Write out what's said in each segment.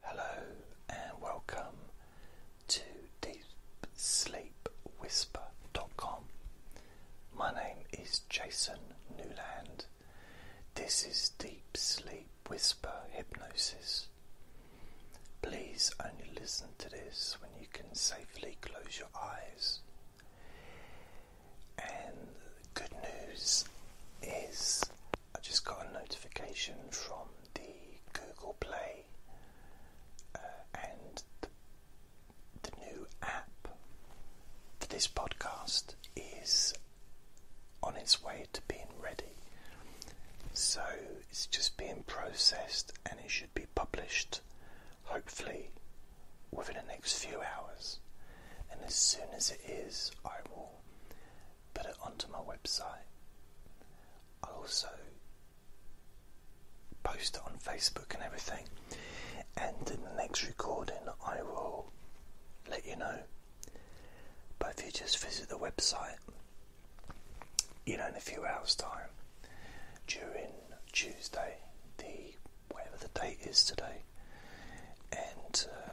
Hello and welcome to Deep Sleep DeepSleepWhisper.com. My name is Jason Newland. This is Deep Sleep Whisper Hypnosis. Please only listen to this when you can safely close your eyes. And the good news is I just got a notification from the Google Play uh, and the new app for this podcast is on its way to being ready. So it's just being processed and it should be published hopefully within the next few hours. And as soon as it is, I will put it onto my website. I'll also post it on Facebook and everything. And in the next recording, I will let you know. But if you just visit the website, you know, in a few hours' time, during Tuesday, the whatever the date is today, and uh,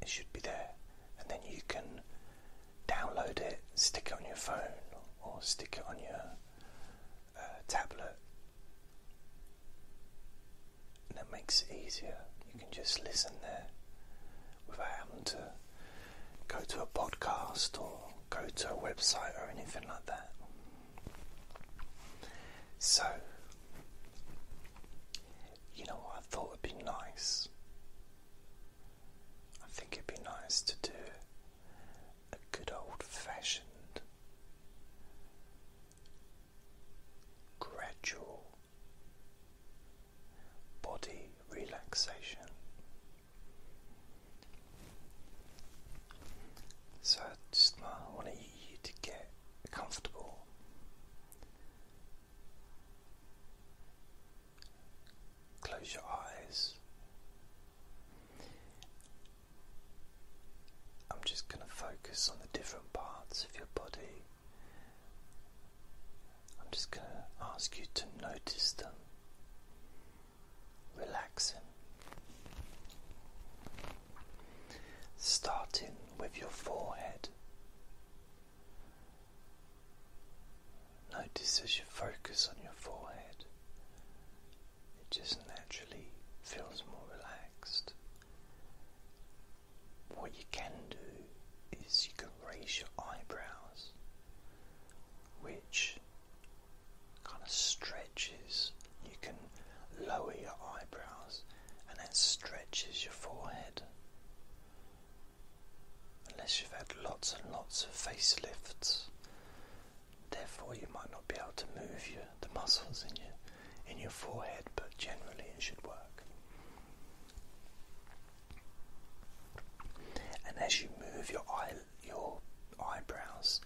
it should be there. And then you can download it, stick it on your phone, or stick it on your uh, tablet. And that makes it easier. You can just listen there without having to go to a podcast or go to a website or anything like that. So, you know what I thought would be nice? I think it'd be nice to do a good old fashioned gradual body relaxation. So I just want to get comfortable Close your eyes. I'm just going to focus on the different parts of your body. I'm just going to ask you to notice them, relaxing. Starting with your forehead, Notice as you focus on your forehead, it just naturally feels more relaxed. What you can do is you can raise your eyebrows, which kind of stretches. You can lower your eyebrows, and it stretches your forehead. Unless you've had lots and lots of facelifts, therefore you might not be able to move your, the muscles in your in your forehead, but generally it should work. And as you move your eye, your eyebrows,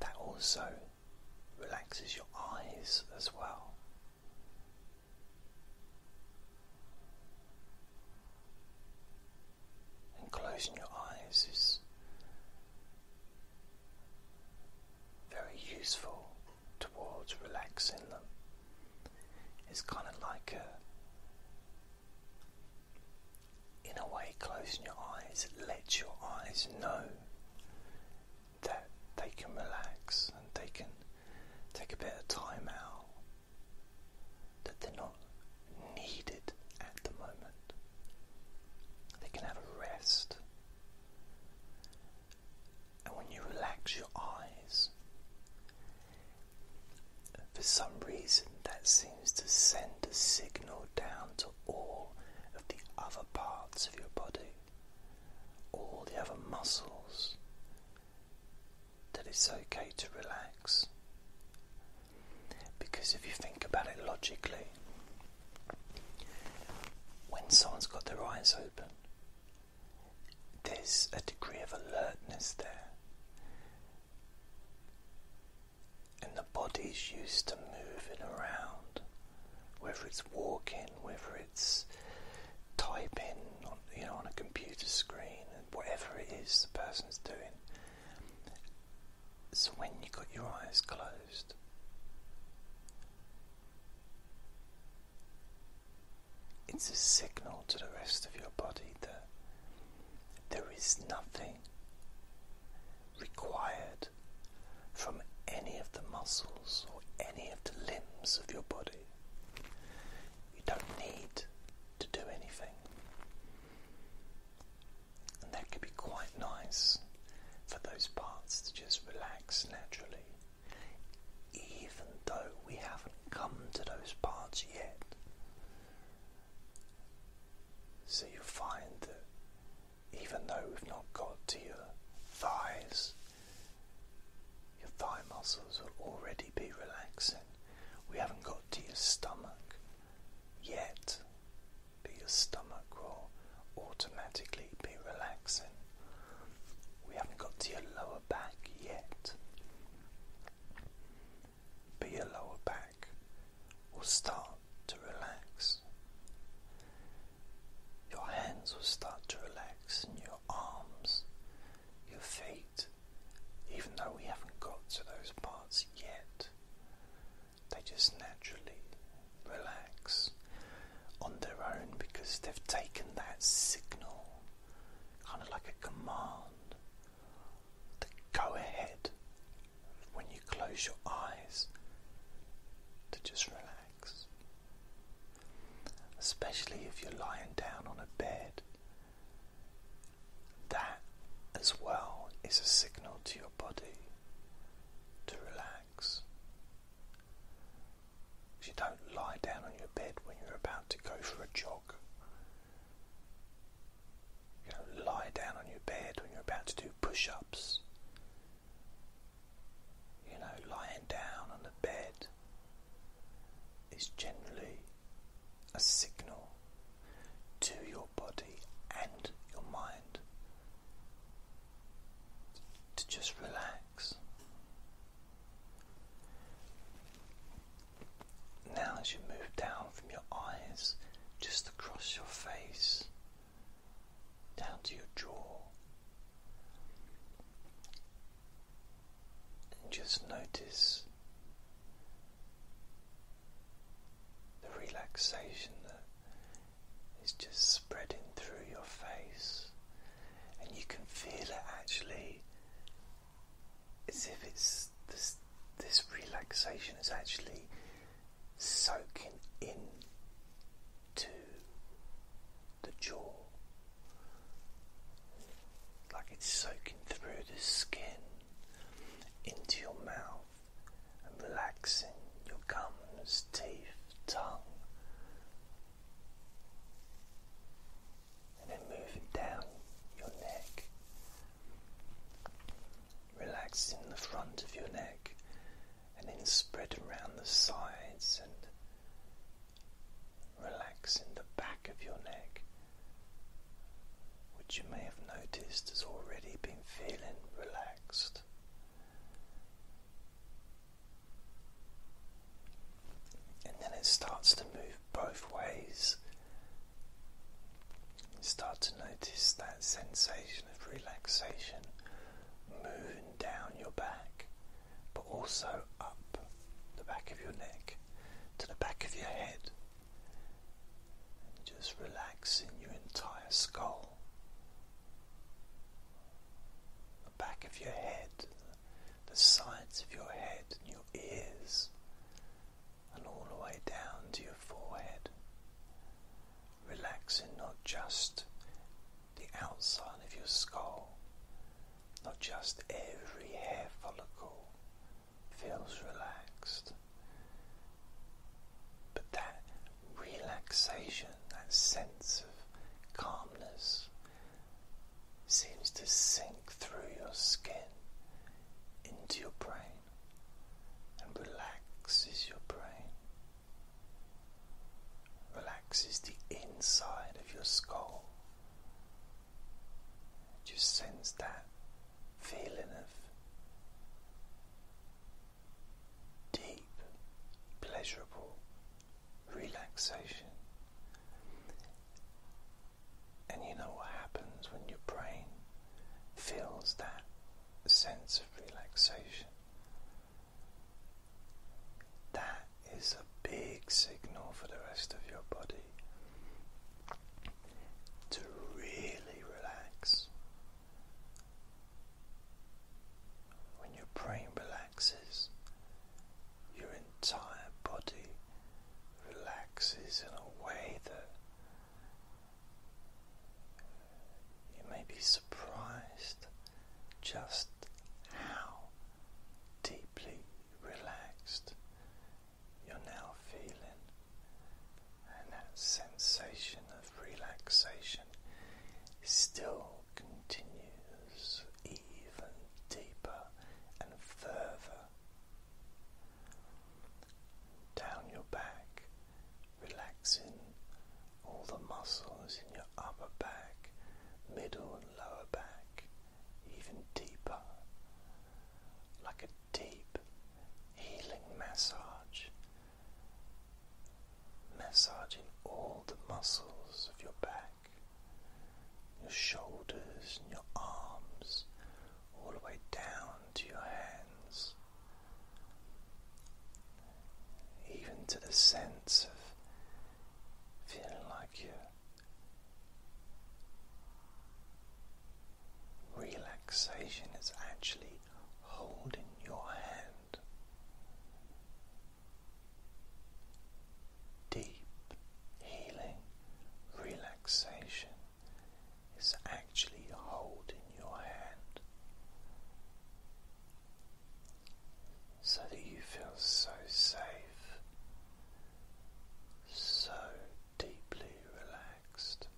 that also relaxes your eyes as well. And closing your eyes is very useful towards relaxing them. It's kind of like a, in a way, closing your eyes lets your eyes know that they can relax and they can take a bit of time out, that they're not needed at the moment. They can have a rest. And when you relax your eyes, for some reason that seems to send a signal down to all of the other parts of your body all the other muscles, that it's okay to relax. Because if you think about it logically, when someone's got their eyes open, there's a degree of alertness there. And the body's used to moving around, whether it's walking, whether it's typing on, you know, on a computer screen and whatever it is the person's doing. So when you got your eyes closed, it's a signal to the rest of your body that there is nothing required from any of the muscles or any of the limbs of your body. You don't need to do anything. And that could be quite nice for those parts to just relax naturally, even though we haven't come to those parts yet. So you find that even though we've not got to your thighs, your thigh muscles will already be relaxing. We haven't got to your stomach yet, but your stomach will automatically be relaxing. We haven't got to your lower back yet, but your lower back will start to relax. Your hands will start to relax and your arms, your feet, even though we haven't got to those parts yet, they just naturally relax on their own because they've taken that signal, kind of like a command, the go ahead when you close your eyes to just relax. Especially if you're lying down on a bed. That as well is a signal to your body to relax. You don't lie down on your bed when you're about to go for a jog. You don't lie down on your bed when you're about to do push ups. You know, lying down on the bed is generally a signal to your body and your mind to just relax. Now, as you move down from your eyes, just across your face, down to your jaw, and just notice the relaxation that is just spreading through your face, and you can feel it actually as if it's this, relaxation is actually soaking in to the jaw, like it's soaking through the skin into your mouth and relaxing your gums, teeth, tongue, and then moving down your neck, relaxing the front of your neck, and then spreading around the sides and Relax in the back of your neck, which you may have noticed has already been feeling relaxed. And then it starts to move both ways. start to notice that sensation of relaxation moving down your back but also up the back of your neck to the back of your head. And just relaxing your entire skull, the back of your head, the sides of your head, and your ears, and all the way down to your forehead. Relaxing not just the outside of your skull, not just every hair follicle feels relaxed. But that relaxation, that sense of calmness, seems to sink through your skin into your brain and relaxes your brain relaxes the inside of your skull. Just sense that feeling of deep, pleasurable relaxation. And you know what happens when your brain feels that sense of relaxation. That is a big signal for the rest of your body to really relax. When your brain relaxes, your entire body relaxes in a way that you may be surprised just how deeply relaxed. You're now feeling, and that sensation of relaxation still continues even deeper and further down your back, relaxing all the muscles in your upper back, middle, lower back, even deeper, like a deep healing massage, massaging all the muscles of your back, your shoulders, and your arms, all the way down to your hands, even to the sense of feeling like your relaxation is actually holding your hand deep healing relaxation is actually holding your hand so that you feel so safe, so deeply relaxed.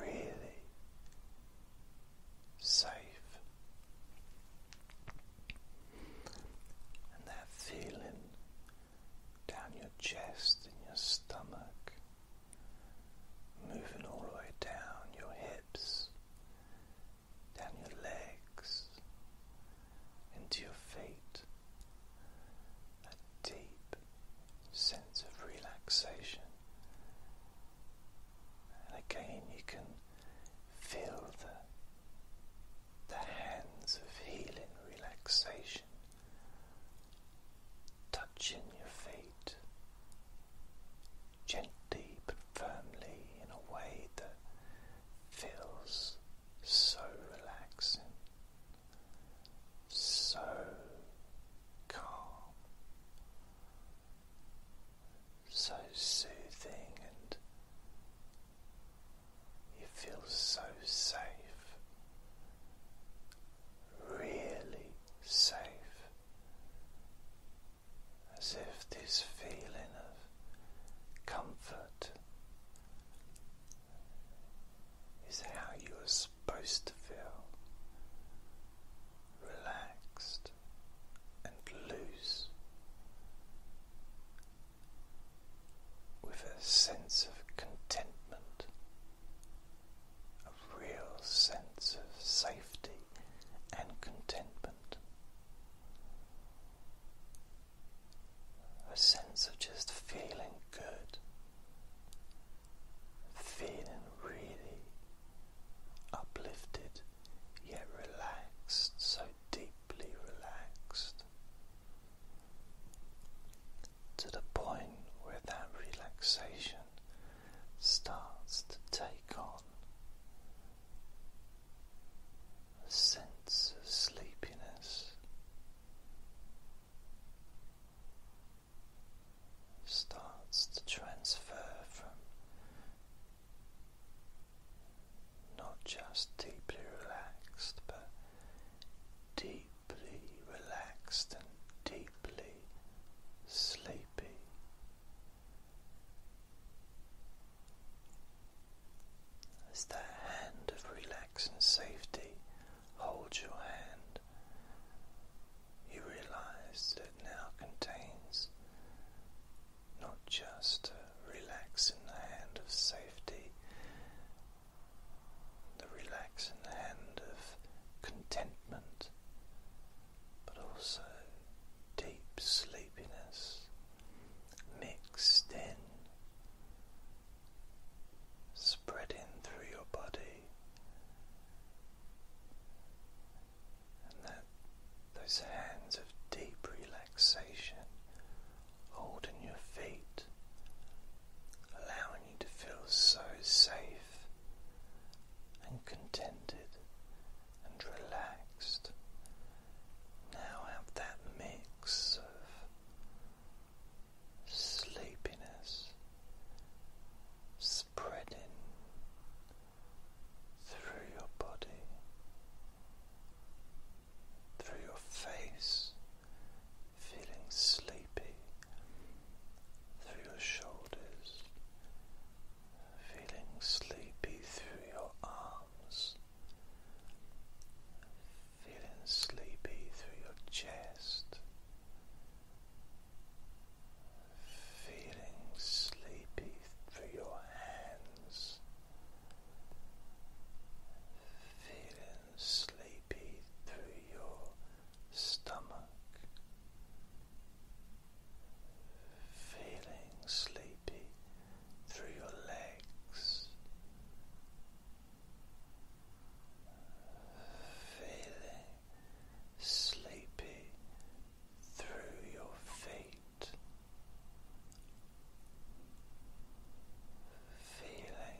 Really safe, and that feeling down your chest and your stomach moving all the way down your hips, down your legs, into your feet. A deep sense of relaxation. And again, you can feel the the hands of healing relaxation touching your feet gently but firmly in a way that feels so relaxing, so calm, so soothing, and you feel so safe. Really safe as if this feeling of comfort is how you are supposed to feel relaxed and loose with a sense of contentment real sense of safety and contentment, a sense of just feeling good, feeling really uplifted yet relaxed, so deeply relaxed. To the point where that relaxation starts to take on a sense of sleepiness, starts to transfer from not just deeply relaxed but deeply relaxed and deeply sleepy as that hand of relax and safety holds your hand, you realize that now contains not just a relaxing hand of safety, the relaxing hand of contentment, but also deep sleepiness mixed in, spreading through your body, and that those hands of deep relaxation holding your feet, allowing you to feel so safe and contented and relaxed. Now have that mix of sleepiness spreading through your body, through your face, feeling sleepy, through your shoulders, feeling sleepy through your arms, feeling sleepy through your chest, feeling sleepy through your hands, feeling sleepy through your stomach feeling sleepy through your legs, feeling sleepy through your feet, feeling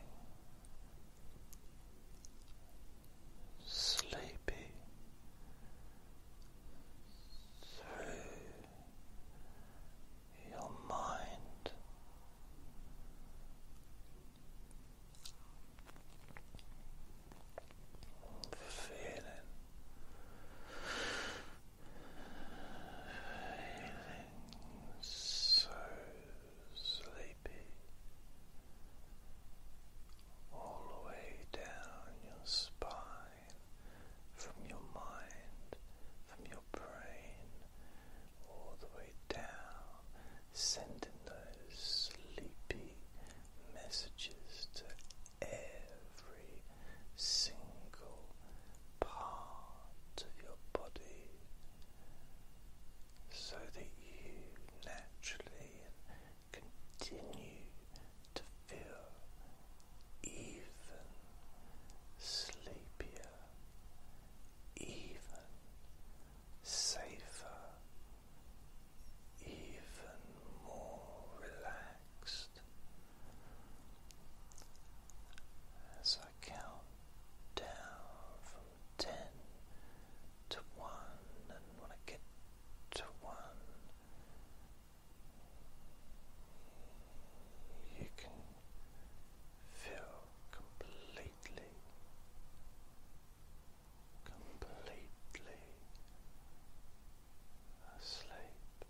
sleepy through your mind. Feeling, feeling so sleepy, all the way down your spine, from your mind, from your brain, all the way down, sending those sleepy messages to every single part of your body so that you naturally continue to feel even sleepier, even safer, even more relaxed. As I count down from ten to one, and when I get to one, you can feel completely, completely asleep.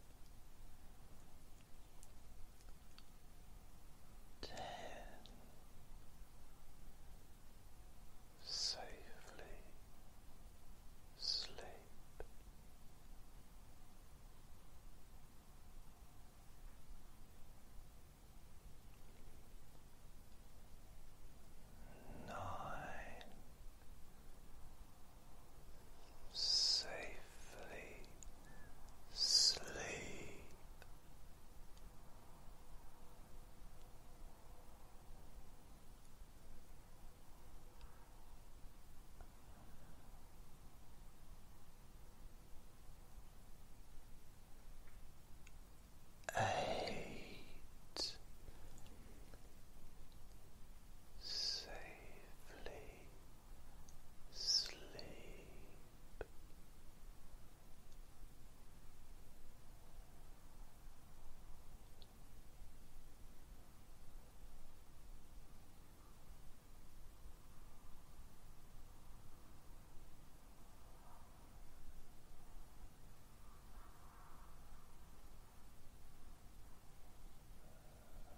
Ten safely sleep. Nine safely sleep. Eight safely sleep.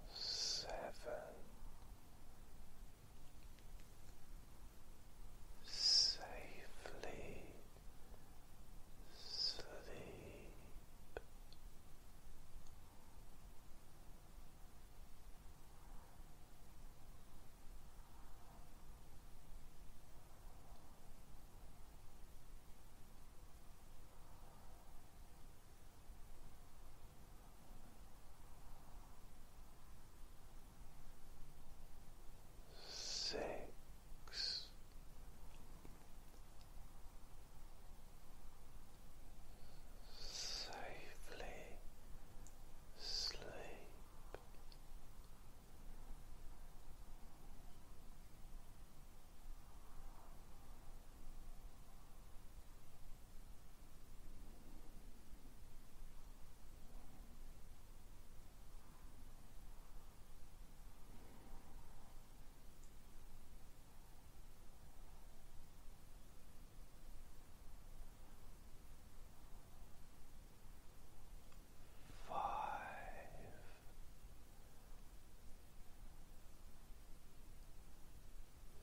Seven, safely sleep. Six safely sleep. Five.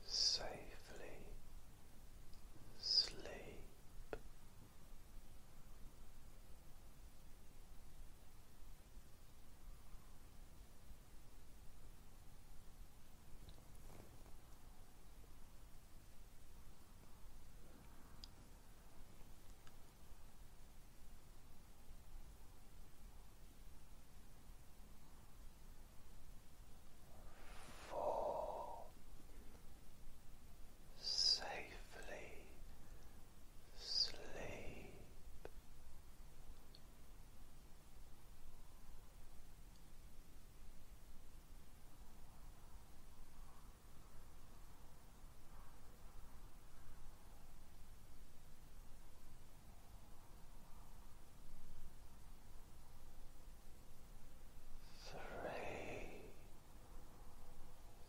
Safely sleep. Fall safely sleep. Three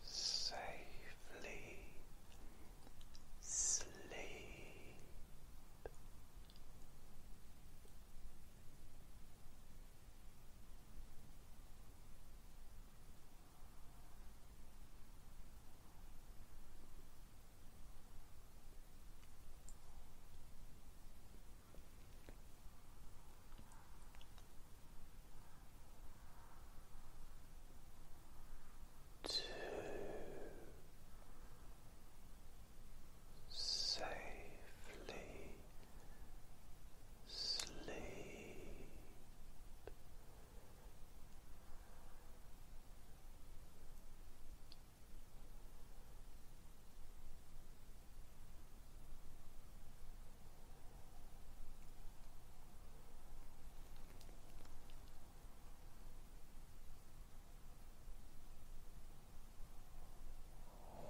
safely sleep to safely sleep.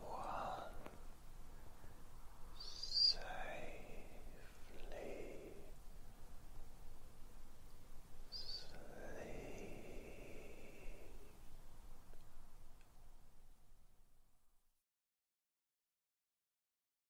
One safely sleep.